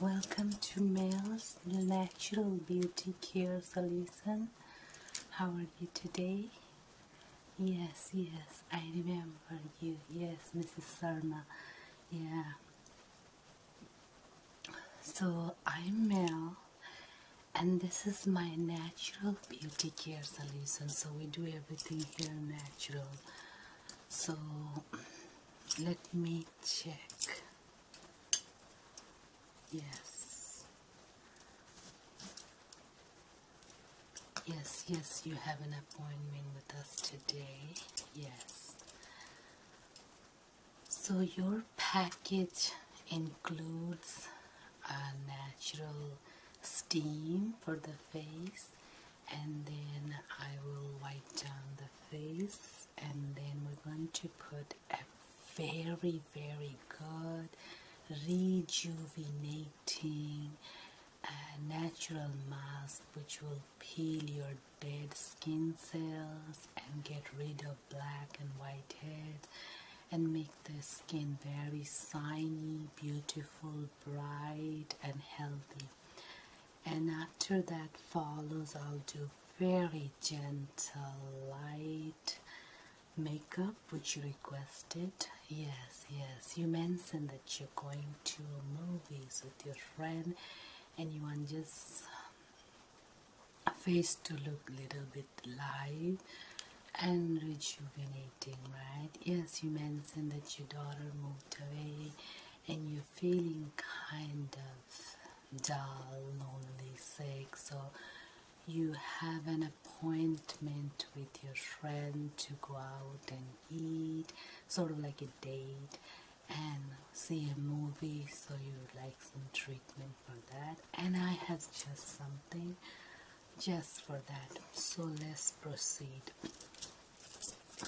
welcome to Mel's Natural Beauty Care Solution. How are you today? Yes, yes, I remember you. Yes, Mrs. Sarma. Yeah. So I'm Mel, and this is my natural beauty care solution. So we do everything here natural. So let me check. Yes. Yes, yes, you have an appointment with us today. Yes. So your package includes a natural steam for the face and then I will wipe down the face and then we're going to put a very very good rejuvenating a natural mask which will peel your dead skin cells and get rid of black and white heads and make the skin very shiny, beautiful, bright and healthy. And after that follows I'll do very gentle light makeup which you requested. Yes, yes. You mentioned that you're going to movies with your friend and you want just um, a face to look little bit live and rejuvenating, right? Yes, you mentioned that your daughter moved away and you're feeling kind of dull, lonely, sick, so you have an appointment appointment with your friend to go out and eat, sort of like a date, and see a movie. So you like some treatment for that. And I have just something just for that. So let's proceed.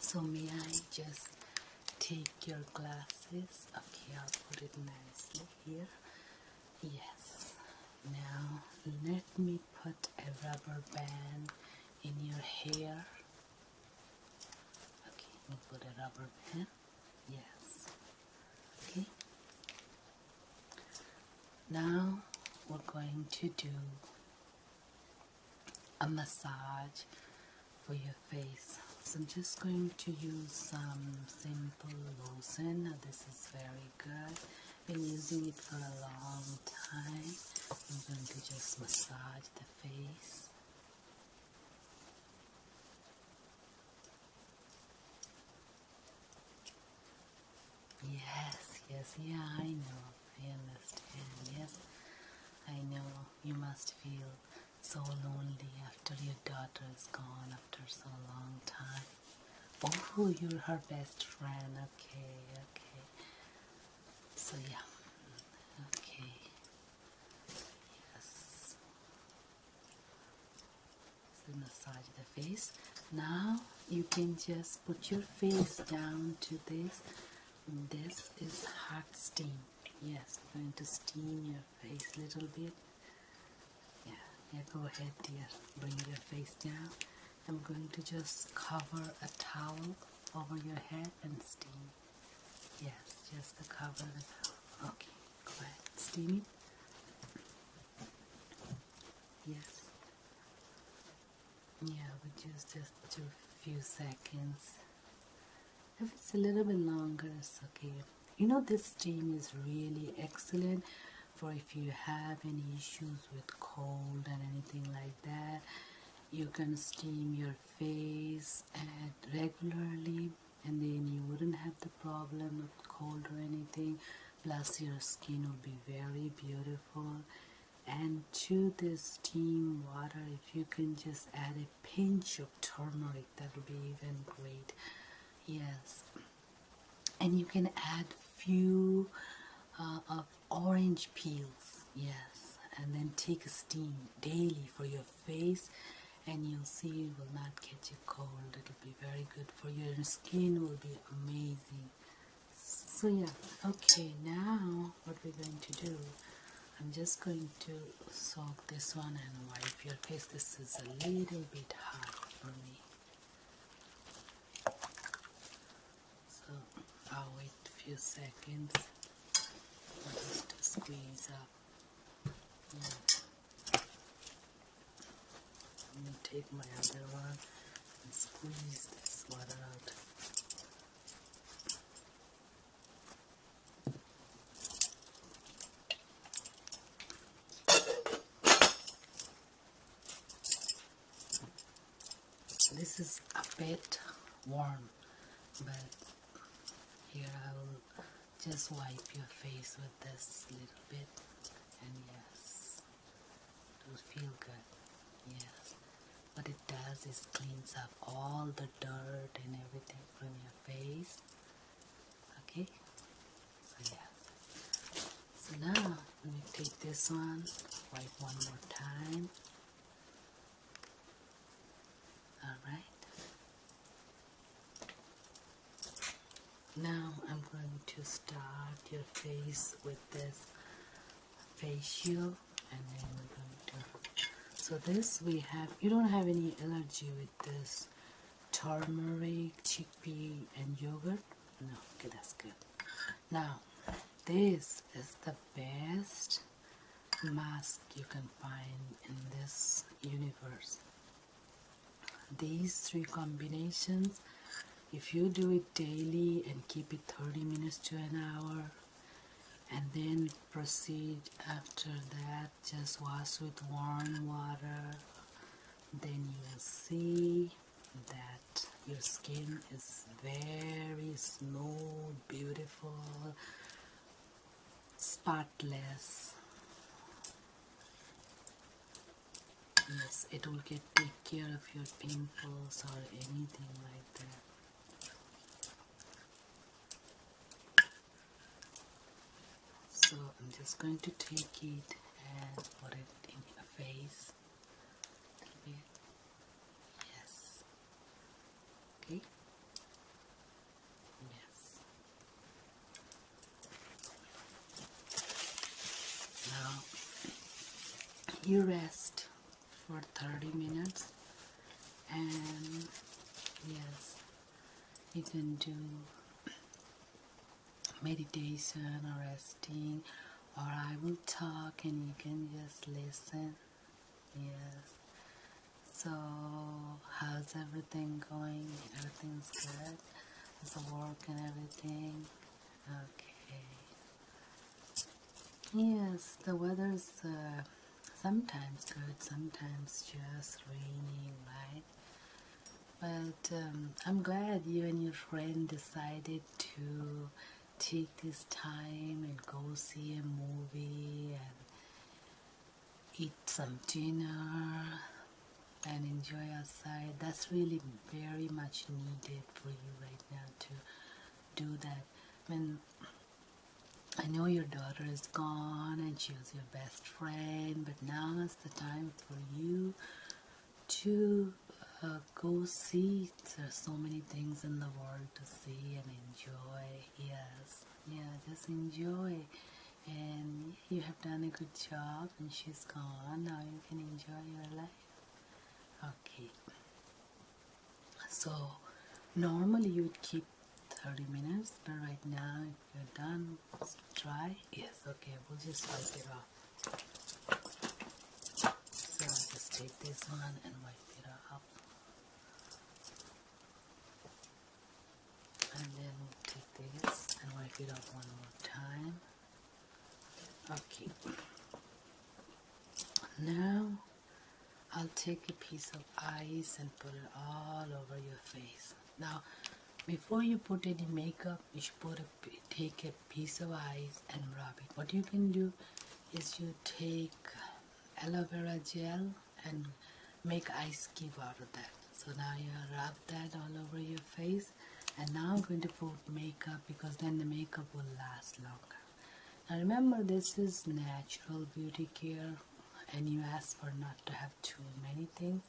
So may I just take your glasses? Okay, I'll put it nicely here. Yes. Now let me put a rubber band in your hair. Okay, we put a rubber band. Yes. Okay. Now we're going to do a massage for your face. So I'm just going to use some simple lotion. This is very good been using it for a long time. I'm going to just massage the face. Yes, yes, yeah, I know. I understand. Yes, I know. You must feel so lonely after your daughter is gone after so long time. Oh, you're her best friend. Okay, okay. So, yeah. Okay. Yes. massage the face. Now, you can just put your face down to this. This is hot steam. Yes, going to steam your face a little bit. Yeah, yeah, go ahead, dear. Bring your face down. I'm going to just cover a towel over your head and steam. Yes, just to cover the towel. Okay, go Steam Yes. Yeah, we just just a few seconds. If it's a little bit longer, it's okay. You know, this steam is really excellent for if you have any issues with cold and anything like that you can steam your face regularly and then you wouldn't have the problem of cold or anything plus your skin will be very beautiful and to this steam water if you can just add a pinch of turmeric that will be even great yes and you can add few uh, of orange peels yes and then take a steam daily for your face and you'll see you will not catch a cold it'll be very good for your skin will be amazing so yeah okay now what we're going to do I'm just going to soak this one and wipe your face this is a little bit hard for me so I'll wait a few seconds for to squeeze up. I'm going to take my other one and squeeze this one out. This is a bit warm, but here I will just wipe your face with this little bit, and yes, it will feel good. Yes, what it does is cleans up all the dirt and everything from your face. Okay, so yeah. So now, let me take this one, wipe one more time. Alright. Now I'm going to start your face with this facial and then we're going to so this we have you don't have any allergy with this turmeric chickpea and yogurt no, okay, that's good. Now, this is the best mask you can find in this universe. These three combinations, if you do it daily and keep it 30 minutes to an hour, and then proceed after that, just wash with warm water, then you'll see that your skin is very smooth, beautiful, spotless. Yes, it will get take care of your pimples or anything like that. So I'm just going to take it and put it in your face. Yes. Okay. Yes. Now you rest for 30 minutes and yes you can do meditation or resting or I will talk and you can just listen yes so how's everything going everything's good with the work and everything okay yes the weather's uh, sometimes good sometimes just raining right but um, I'm glad you and your friend decided to take this time and go see a movie and eat some dinner and enjoy outside. That's really very much needed for you right now to do that. I know your daughter is gone and she was your best friend, but now is the time for you to uh, go see. there uh, are so many things in the world to see and enjoy. Yes, yeah, just enjoy. And you have done a good job, and she's gone. Now you can enjoy your life. Okay. So, normally you would keep 30 minutes, but right now, if you're done, Dry. Yes, okay, we'll just wipe it off just take this one and wipe it up. And then take this and wipe it up one more time. Okay. Now I'll take a piece of ice and put it all over your face. Now, before you put any makeup, you should put a, take a piece of ice and rub it what you can do is you take aloe vera gel and make ice cube out of that so now you rub that all over your face and now I'm going to put makeup because then the makeup will last longer now remember this is natural beauty care and you ask for not to have too many things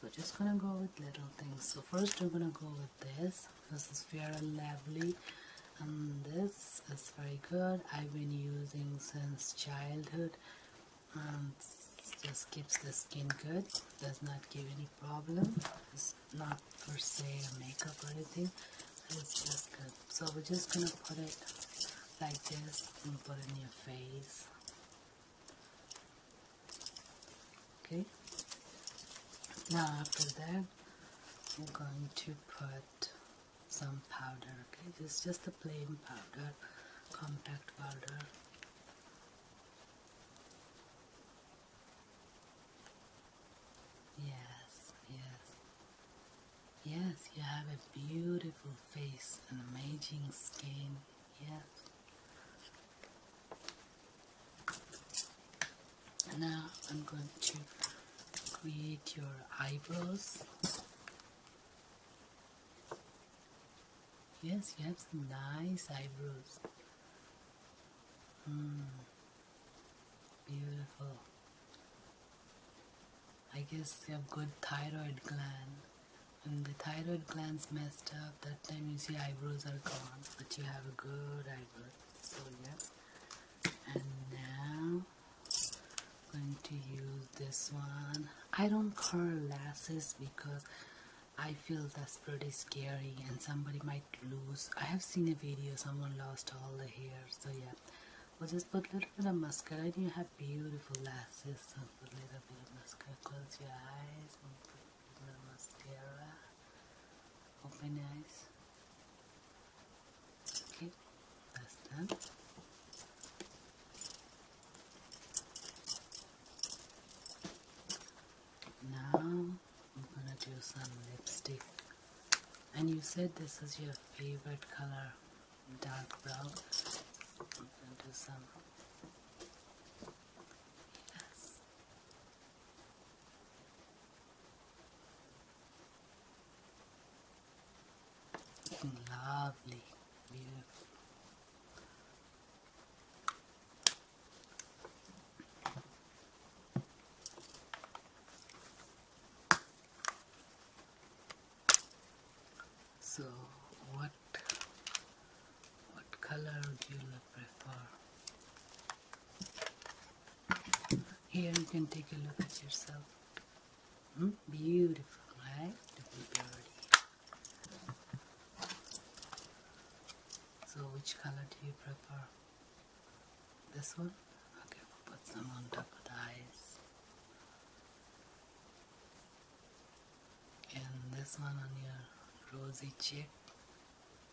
so just gonna go with little things so first I'm gonna go with this this is very lovely and this is very good I've been using since childhood and just keeps the skin good does not give any problem it's not for se a makeup or anything it's just good so we're just gonna put it like this and put it in your face okay now after that I'm going to put some powder okay it's just a plain powder compact powder yes yes yes you have a beautiful face an amazing skin yes now I'm going to create your eyebrows. Yes, you have nice eyebrows. Hmm. beautiful. I guess you have good thyroid gland. When the thyroid gland's messed up, that time you see eyebrows are gone, but you have a good eyebrow so yeah and now i going to use this one I don't curl lashes because I feel that's pretty scary and somebody might lose I have seen a video someone lost all the hair so yeah we'll just put a little bit of mascara and you have beautiful lashes so put a little bit of mascara close your eyes Namastera. Open eyes. Okay, that's done. Now I'm gonna do some lipstick. And you said this is your favorite color, dark brown. I'm gonna do some. Yes. Lovely, beautiful. So what what color do you prefer? Here you can take a look at yourself. Hmm? Beautiful, right? So which color do you prefer? This one? Okay, put some on top of the eyes. And this one on your rosy cheek.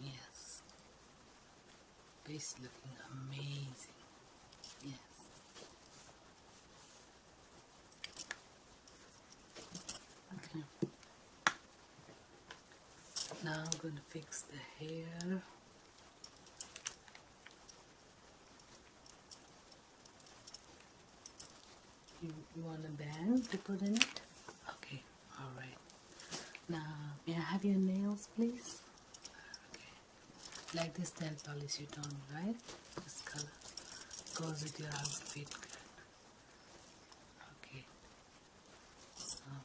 Yes. Base looking amazing. Yes. Now I'm going to fix the hair. You, want a band to put in it? Okay, alright. Now, may I have your nails, please? Okay. Like this nail polish you told me, right? This color goes with your outfit. Okay. Oh.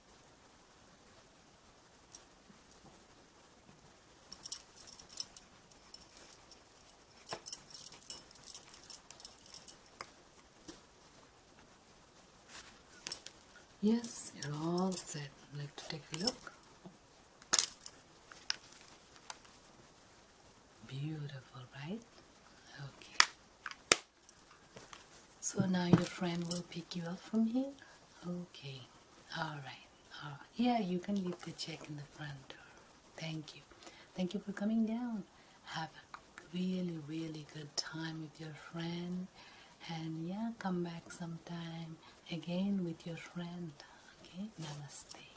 Yes, you're all set. I'd like to take a look. Beautiful, right? Okay. So now your friend will pick you up from here? Okay. All right. Yeah, you can leave the check in the front door. Thank you. Thank you for coming down. Have a really, really good time with your friend. And yeah, come back sometime again with your friend. Okay? Namaste.